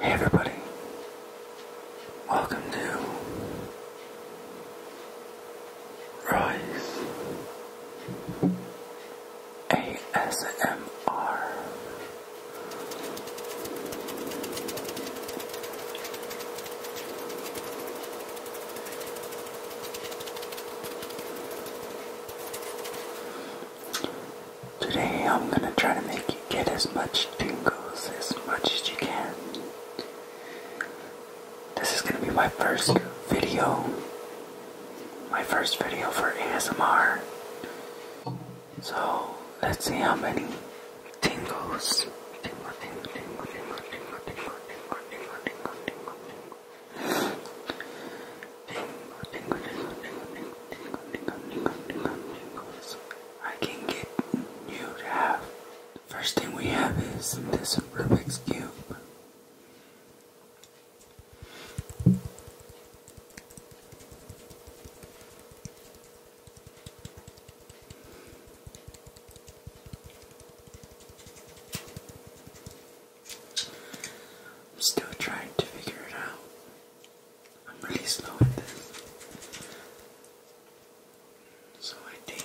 Hey everybody, welcome to Rise ASMR. Today I'm gonna try to make you get as much tingles as much as you can. This is gonna be my first video. My first video for ASMR. So let's see how many tingles tingles. I can get you to have. The first thing we have is this Rubik's Cube. I'm still trying to figure it out. I'm really slow at this. So I think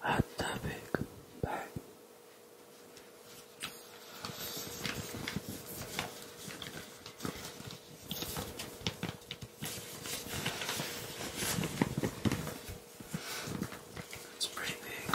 hot topic. Bye. It's pretty big.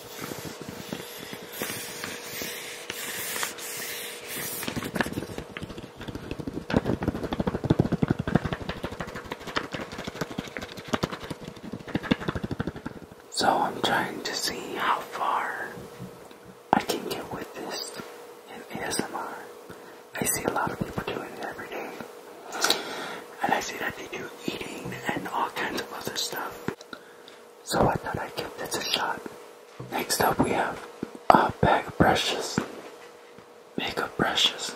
So I'm trying to see how far I can get with this in ASMR. I see a lot of people doing it every day. And I see that they do eating and all kinds of other stuff so I thought I'd give this a shot. Next up, we have a bag of brushes, makeup brushes.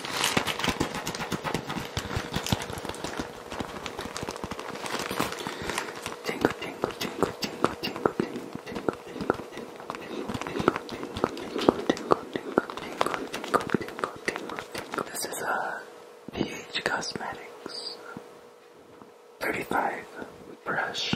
Jingle, jingle, jingle, jingle, jingle, jingle, jingle, jingle, this is a uh, PH Cosmetics 35 brush.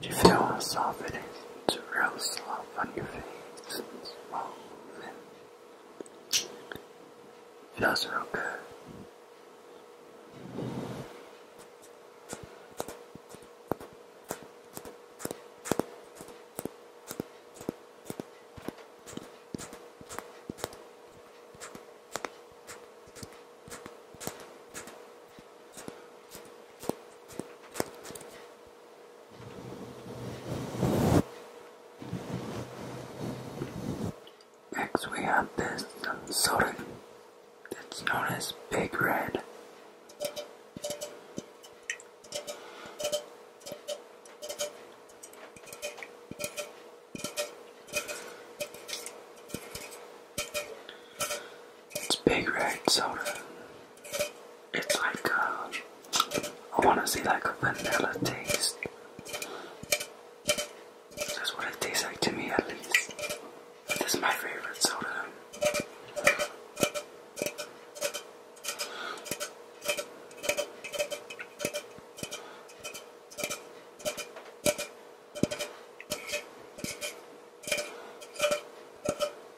You feel a soft to real sloth on your face and small Feels real good. Next we have this sorry that's known as Big Red. It's Big Red soda it's like a, uh, I want to say like a vanilla taste. That's what it tastes like to me at least. This is my favorite soda.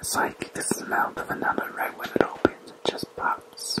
It's like the smell of another right when it opens, it just pops.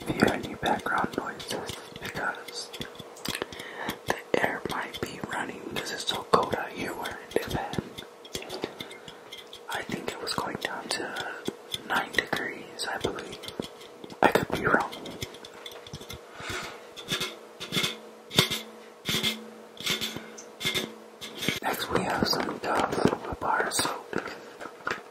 If you hear any background noises, because the air might be running because it's so cold out here where it is at. I think it was going down to 9 degrees, I believe. I could be wrong. Next, we have some Dove bar soap.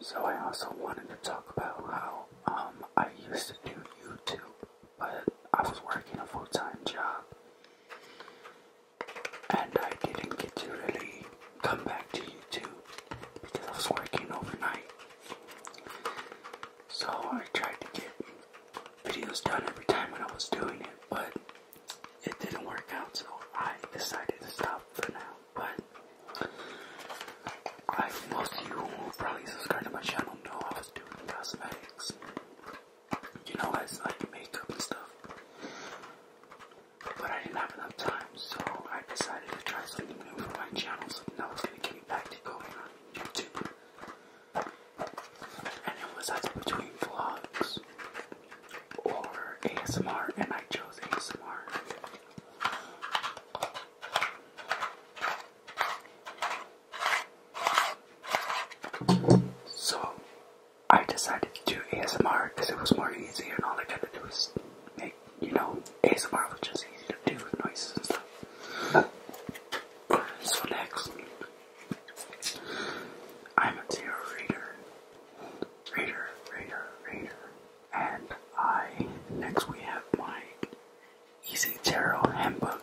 So I also wanted to talk about how um, I used to do YouTube, but I was working a full-time job, and I didn't get to really come back to YouTube because I was working overnight. So I tried to get videos done every time when I was doing it, but it didn't work out, so I decided to stop for now. But I most you who probably subscribe to my channel know I was doing cosmetics. You know, as like makeup and stuff but I didn't have enough time, so I decided to try something new for my channel. So now it's gonna get me back to going on YouTube. And it was either between vlogs or ASMR, and I chose ASMR. So I decided to do ASMR because it was more easy, and all I had to do was make you know, ASMR was just easy to do with noises and stuff. So next, I'm a tarot reader, reader, reader, reader, and I, next we have my Easy Tarot Handbook.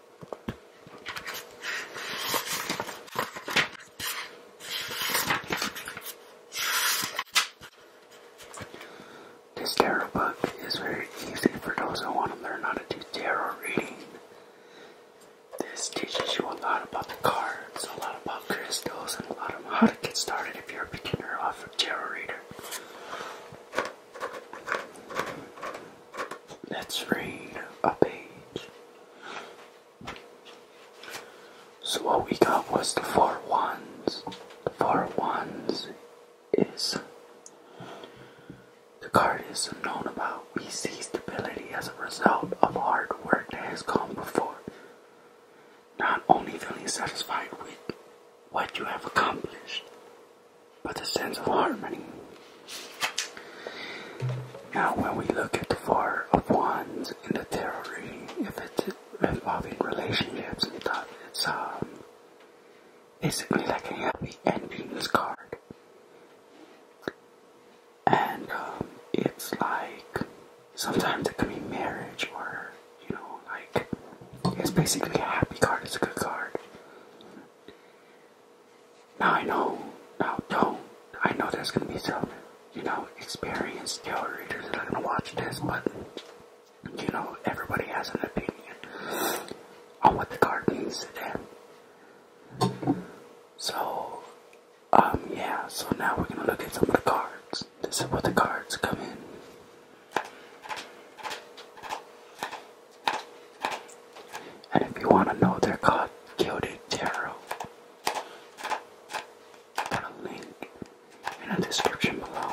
This tarot book is very easy for those who want to learn how to do tarot reading. This teaches you a lot about the cards, a lot about crystals, and a lot of how to get started if you're a beginner off of tarot reading. Let's read a page. So what we got was the four ones. The four ones is the card is known about. We see stability as a result of hard work that has come before. Not only feeling satisfied with what you have accomplished, but the sense of harmony. Now, when we look at the Four of Wands in the tarot reading, if it's involving relationships, it's basically like a happy endings card. And um, it's like sometimes it can be marriage or, you know, like it's basically a happy card, it's a good card. Now I know, now don't. I know there's gonna be some, you know, experienced tale readers that are gonna watch this, but you know, everybody has an opinion on what the card means to them. So, um, yeah, so now we're gonna look at some of the cards. This is what the cards come in. And if you want to know, they're called Gilded Tarot. Put a link in the description below.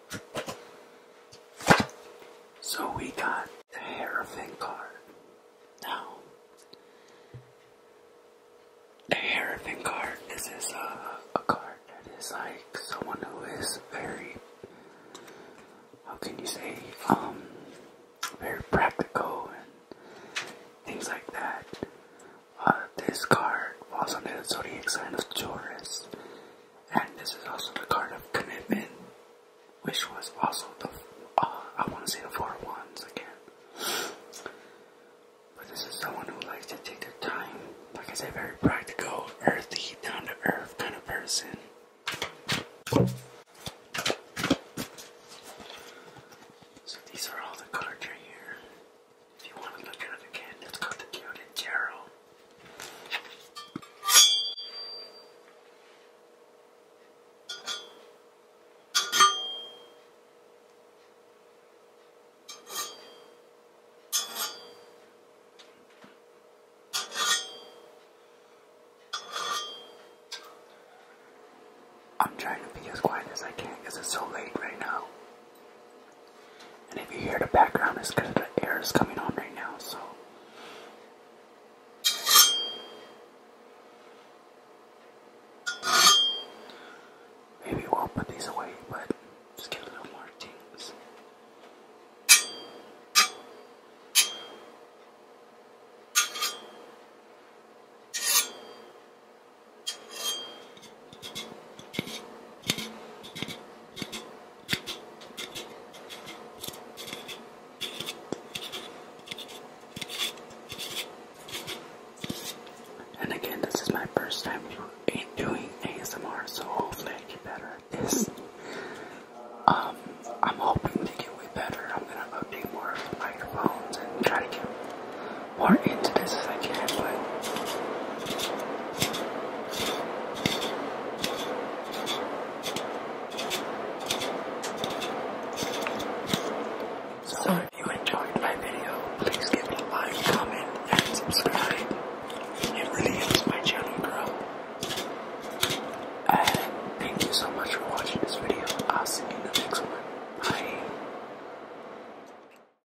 So we got the hair of Inkar. Now, the hair of Inkar, this is a, a card that is like someone who is very, how can you say, um, very practical and things like that. Uh, this card was under the zodiac sign of Taurus. And this is also the card of commitment, which was also the, uh, I want to say the four ones again. But this is someone who likes to take their time. Like I said, very practical, earthy, down to earth kind of person. So these are all the cards right here. If you want to look at it again, it's called the Gilded Gerald. I'm trying to be as quiet as I can because it's so late right now. And if you hear the background, it's because the air is coming on right now, so. Maybe we'll put these away, but just give a little more tings. And again, this is my first time doing ASMR, so hopefully I get better at this. Um, I'm hoping to get way better. I'm gonna update more microphones and try to more into this as I can, so if you enjoyed my video, please give it a like, comment, and subscribe. It really helps my channel grow. And thank you so much for watching this video. I'll see you in the next one. Bye.